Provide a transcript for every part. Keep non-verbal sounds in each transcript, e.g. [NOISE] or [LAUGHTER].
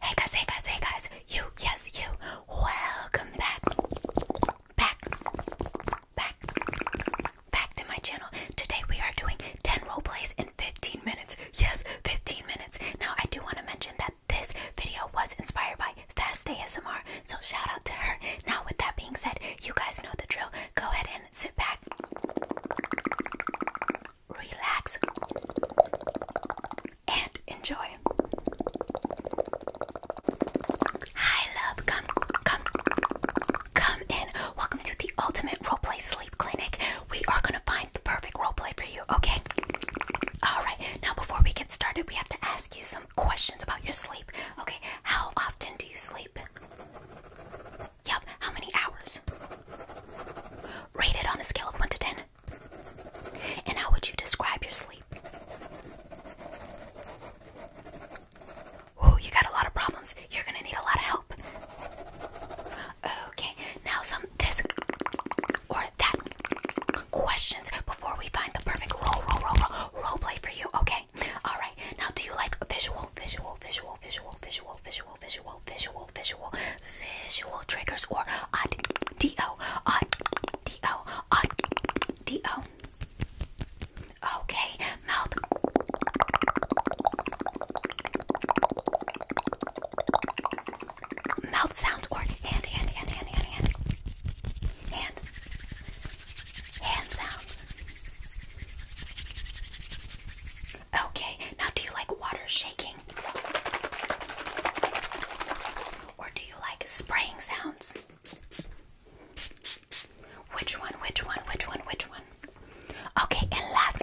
Hey guys, hey guys, hey guys, you, yes, you, welcome back, back, back, back to my channel. Today we are doing 10 role plays in 15 minutes. Yes, 15 minutes. Now I do want to mention that this video was inspired by Fast ASMR, so shout out to her. Now with that being said, you guys know the drill. Go ahead and sit back relax, and enjoy. Hi, love. Come, come, come in. Welcome to the Ultimate Roleplay Sleep Clinic. We are going to find the perfect roleplay for you, okay? Alright, now before we get started, we have to ask you some questions about your sleep. Okay, how often do you sleep? Yep. How many hours? Rate it on a scale of 1 to 10. And how would you describe your sleep? Oh, you got a lot of problems. You're going to need a lot of help. Okay. Now some this or that questions before we find the perfect role role role role, role play for you. Okay. All right. Now do you like visual visual visual visual visual visual visual, visual, visual, visual, triggers or odd Okay, mouth. Mouth sounds or hand, hand, hand, hand, hand, hand, hand sounds. Okay, now do you like water shaking? Or do you like spraying sounds? Which one, which one, which one, which one? Okay, and last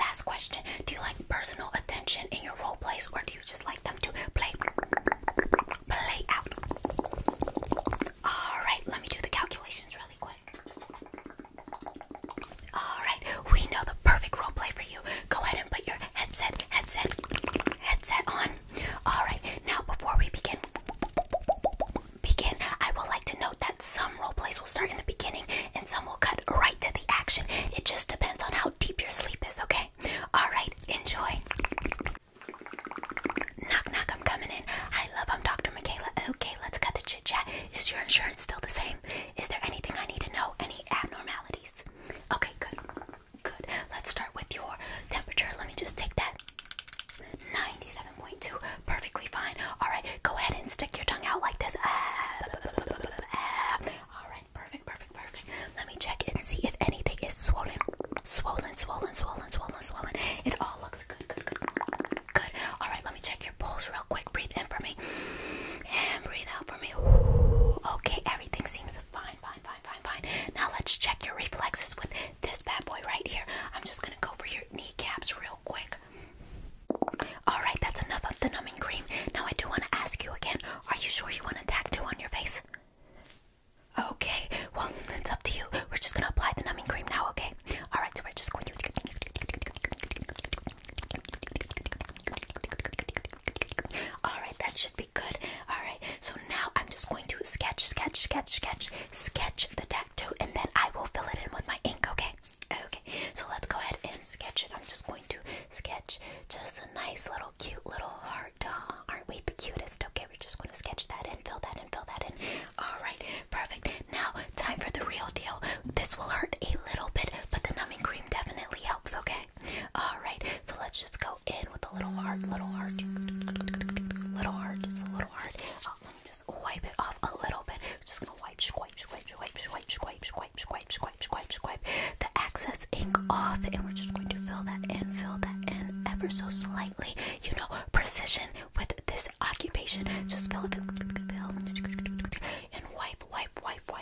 last question. Do you like personal attention in your role plays or do you just like them to play play out? Alright, let me do the calculations really quick. Alright, we know the perfect role play for you. Go ahead and put your headset, headset, headset on. Alright, now before we begin, begin, I would like to note that some role plays will start in the beginning and some will cut right to the action. It just depends on how deep your sleep is, okay? Alright, enjoy. Knock, knock, I'm coming in. Hi, love, I'm Dr. Michaela. Okay, let's cut the chit chat. Is your insurance still the same? Is there anything I need to know? Any abnormalities? Okay, good. Good. Let's start with your temperature. Let me just take that. 97.2. Perfectly fine. Alright, go ahead and stick your tongue out like this. Ah. Alright, perfect, perfect, perfect. Let me check and see if anything is swollen. Swollen, swollen, swollen, swollen, swollen. It all looks good, good, good, good. Alright, let me check your pulse real quick. Breathe in for me. And breathe out for me. Ooh, okay, everything seems fine, fine, fine, fine, fine. Now let's check your reflexes with this bad boy right here. I'm just gonna go for your kneecaps real quick. Alright, that's enough of the numbing cream. Now I do want to ask you again, are you sure you want a tattoo on your face? Okay, well, it's up to you. We're just gonna apply the numbing cream now, okay? Alright, so we're just going to Alright, that should be good. Alright, so now I'm just going to sketch, sketch, sketch, sketch, sketch the tattoo, and then I will fill it in with my ink, okay? Okay, so let's go ahead and sketch it. I'm just going to sketch just a nice little cute little heart. Oh, aren't we the cutest? Okay, we're just going to sketch that in, fill that in, fill that in. Alright, perfect. Now time for the real deal. This will hurt a little bit, but the numbing cream definitely helps, okay? Alright, so let's just go in with a little heart, little heart, little heart, just a little heart. Oh, let me just wipe it off a little bit. Just gonna wipe, swipe, swipe, swipe, swipe, swipe, swipe, swipe, swipe, swipe, swipe. The excess ink off, and we're just going to fill that in, fill that in ever so slightly. You know, precision with this occupation. Just fill it, fill, fill, and wipe, wipe, wipe, wipe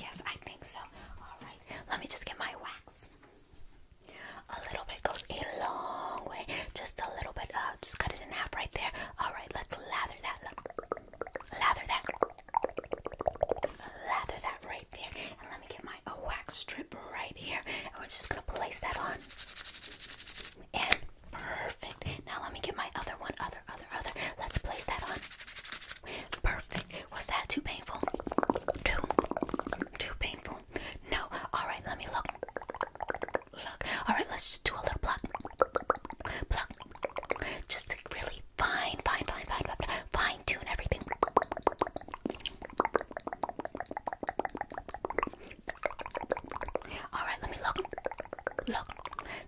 Yes, I think so. Alright, let me just get my wax. A little bit goes a long way. Just a little bit. Uh, just cut it in half right there. Alright, let's lather that. Lather that. Lather that right there. And let me get my wax strip right here. And we're just going to place that on. And perfect. Perfect. Now let me get my other one. Other, other, other. Let's place that on. Perfect. Was that too painful? Too, too painful. No. All right. Let me look. Look. All right. Let's just do a little pluck, pluck. Just really fine, fine, fine, fine, fine tune everything. All right. Let me look. Look.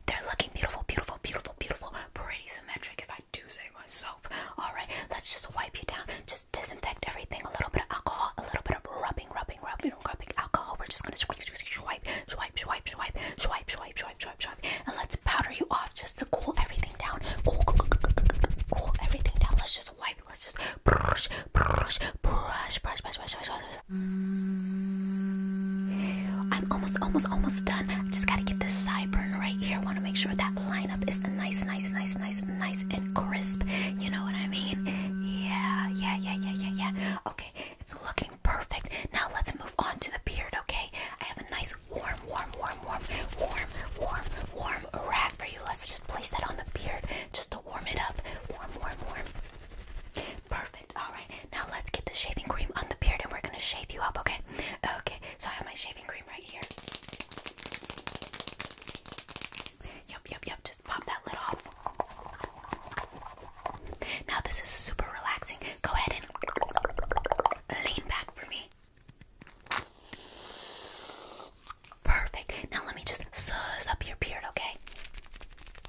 They're looking beautiful, beautiful, beautiful beautiful, beautiful, pretty symmetric if I do say myself. Alright, let's just wipe you down. Just disinfect everything. A little bit of alcohol, a little bit of rubbing, rubbing, rubbing, rubbing alcohol. We're just gonna swipe, swipe, swipe, swipe, swipe, swipe, swipe, swipe, swipe, swipe. And let's powder you off just to cool everything down. Cool, cool, cool, cool, cool, cool everything down. Let's just wipe, let's just brush, brush, brush, brush, brush, brush, brush, brush, brush, I'm almost, almost, almost done. I just gotta get this sideburn right here. I wanna make sure that lineup is nice, nice, nice, nice, nice and crisp. You know what I mean? Yeah, yeah, yeah, yeah, yeah, yeah. Okay, it's looking perfect. Now let's move on to the beard, okay? I have a nice warm, warm, warm, warm, warm, warm, warm rack for you. Let's just place that on the beard just to warm it up. Warm, warm, warm. Perfect. All right. Now let's get the shaving cream on the beard and we're going to shave you up, okay? Okay. So I have my shaving cream right here. Yep, yep, yep. Just pop that lid off. Now this is super relaxing. Go ahead and lean back for me. Perfect. Now let me just suss up your beard, okay?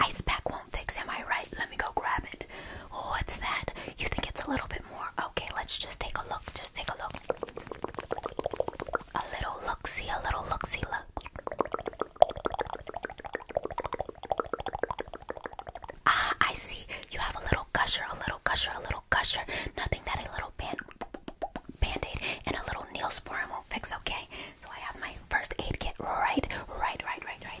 ice pack won't fix, am I right? Let me go grab it. Oh, what's that? You think it's a little bit more? Okay, let's just take a look. Just take a look. A little look see, a little look see, look. Ah, I see. You have a little gusher, a little gusher, a little gusher. Nothing that a little band band-aid and a little neosporin won't fix, okay? So I have my first aid kit right, right, right, right, right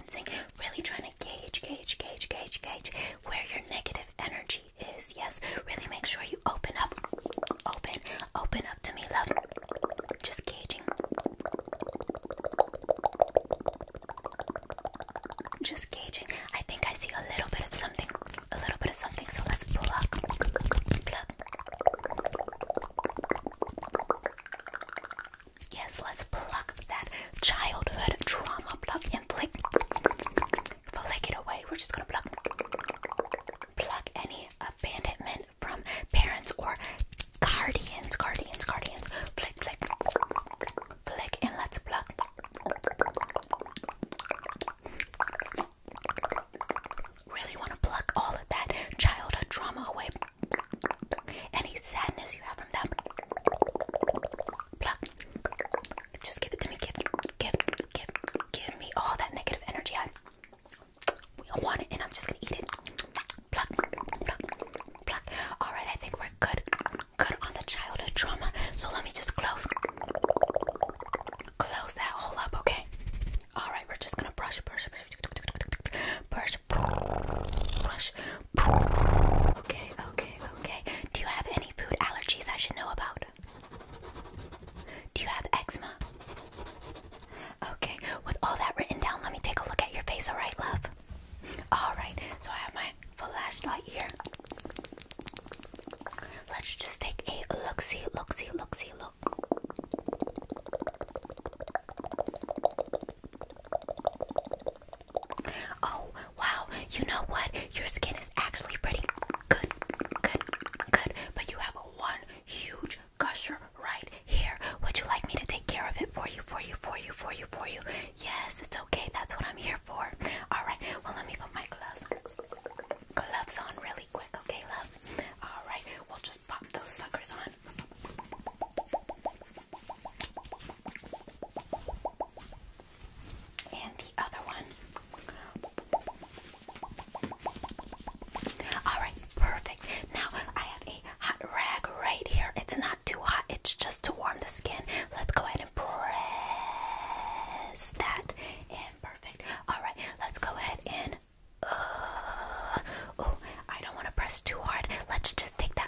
really trying to gauge, gauge, gauge, gauge, gauge where your negative energy is. Yes, really make sure you open up, open, open up to me, love. Just gauging, just gauging. I think I see a little bit of something, a little bit of something. So let's Pull up. Yes, let's pluck that childhood trauma. Pluck and flick. Flick it away. We're just gonna pluck. Pluck any abandonment from parents or guardians. Guardians, guardians. Flick, flick. Flick and let's pluck. Really want to pluck all of that childhood trauma away. Any sadness you have from them, pluck. Just give it to me. Give, give, give, give me all that negative energy. I, I want it, and I'm just gonna eat it. Pluck, pluck, pluck. All right, I think we're good, good on the childhood trauma. So let me just close, close that hole up, okay? All right, we're just gonna brush, brush, brush, brush, brush, brush, brush, brush. Okay, okay, okay. Do you have any food allergies I should know about? Do you have eczema? Okay, with all that written down, let me take a look at your face, alright, love? Alright, so I have my flashlight here. Let's just take a look see, look see, look see, look. Oh, wow. You know what? Your skin is actually pretty good, good, good. good. But you have one huge gusher right here. Would you like me to take care of it for you, for you, for you, for you, for you? Yes, it's okay. That's what I'm here for. All right. Well, let me put my gloves gloves on really quick, okay, love? All right. We'll just pop those suckers on. And the other one. Alright, perfect. Now I have a hot rag right here. It's not too hot, it's just to warm the skin. Let's go ahead and press that in. Perfect. Alright, let's go ahead and. Uh, oh, I don't want to press too hard. Let's just take that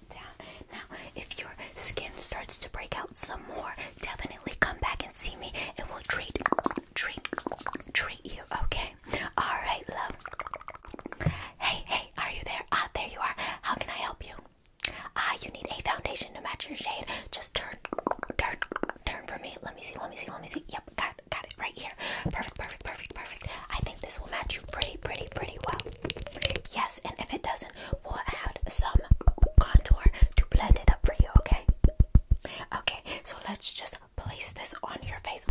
now, if your skin starts to break out some more, definitely come back and see me and we'll treat, treat, treat you, okay? Alright, love. Hey, hey, are you there? Ah, there you are. How can I help you? Ah, you need a foundation to match your shade. Just turn, turn, turn for me. Let me see, let me see, let me see. Yep, got, got it right here. Perfect, perfect, perfect, perfect. I think this will match you pretty, pretty pretty, well. Yes, and if it doesn't, we'll add some contour to blend it up for you, okay? Okay, so let's just place this on your face.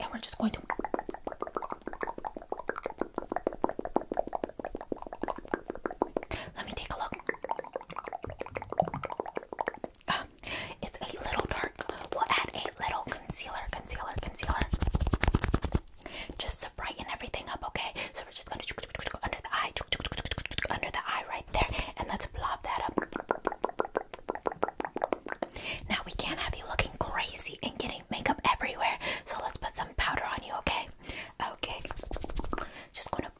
And we're just going to. Let me take a look. Ah, it's a little dark. We'll add a little concealer, concealer, concealer. Just to brighten everything up, okay? So we're just gonna under the eye, under the eye right there, and let's blob that up. Now we can't have you looking crazy and getting makeup everywhere, so let's put some powder on you, okay? Okay. Just gonna.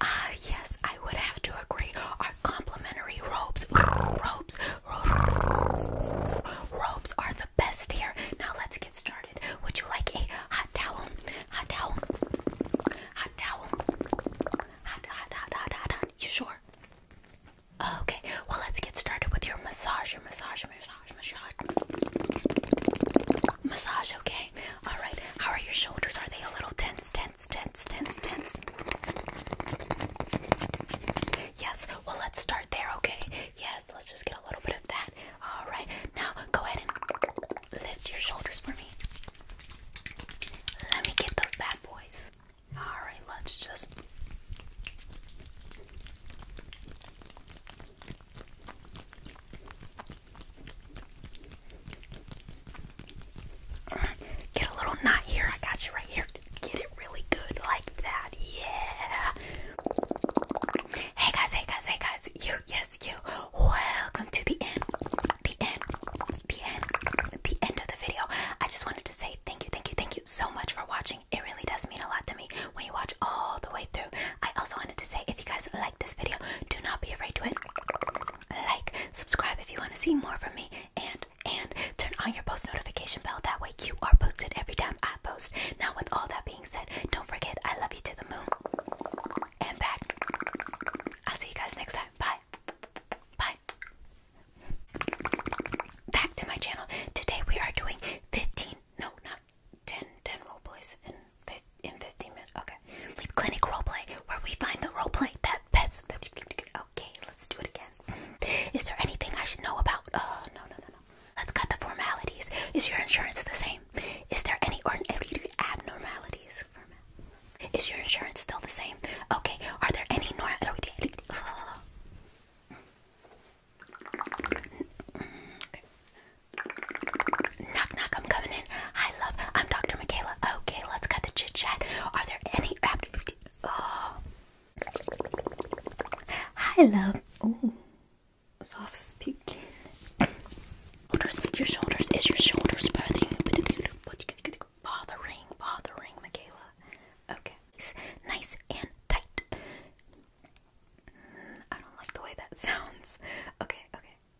Ah, yes, I would have to agree. Our complimentary robes, robes, robes are the best here. Now let's get started. Would you like a hot towel? Hot towel? Hot towel? Hot, hot, hot, hot, hot, hot. You sure? Okay, well, let's get started with your massage. Your massage, massage, massage. Massage, okay? all right. How are your shoulders? Are they a little tense, tense, tense, tense, tense? Yes, well, let's start there, okay? Yes, let's just get a little bit of that. All right, now go ahead and lift your shoulders for me. Let me get those bad boys. All right, let's just. Get a little knot here. I got you right here. Get it really good like that. Yeah. Hey guys, hey guys, hey guys. You, yes, you. Welcome to the end. The end. The end. The end of the video. I just wanted to say thank you, thank you, thank you so much for watching. It really does mean a lot to me when you watch all the way through. I also wanted to say if you guys like this video, do not be afraid to it like, subscribe if you want to see more from me, and and turn on your post notification bell. That way, you are posted every time I post. Now, with all that being said, don't forget I love you to the moon and back. I'll see you guys next time. Bye. Bye. Back to my channel. Today we are doing 15, no, not 10, 10 role plays in 15 minutes. Okay. Sleep clinic roleplay, where we find the roleplay that best. Okay, let's do it again. Is there anything I should know about? Oh, no, no, no, no. Let's cut the formalities. Is your insurance the same? Is there any or abnormalities? Is your insurance still the same? Okay, are there any nor? Okay. Knock knock, I'm coming Hi, love. I'm Dr. Michaela. Okay, let's cut the chit chat. Are there any? Oh. Hi, love. Oh, soft speaking. Shoulders, your shoulders. Is your shoulders burning? Bothering, bothering, Michaela. Okay, it's nice and tight. Mm, I don't like the way that [LAUGHS] sounds. Okay, okay.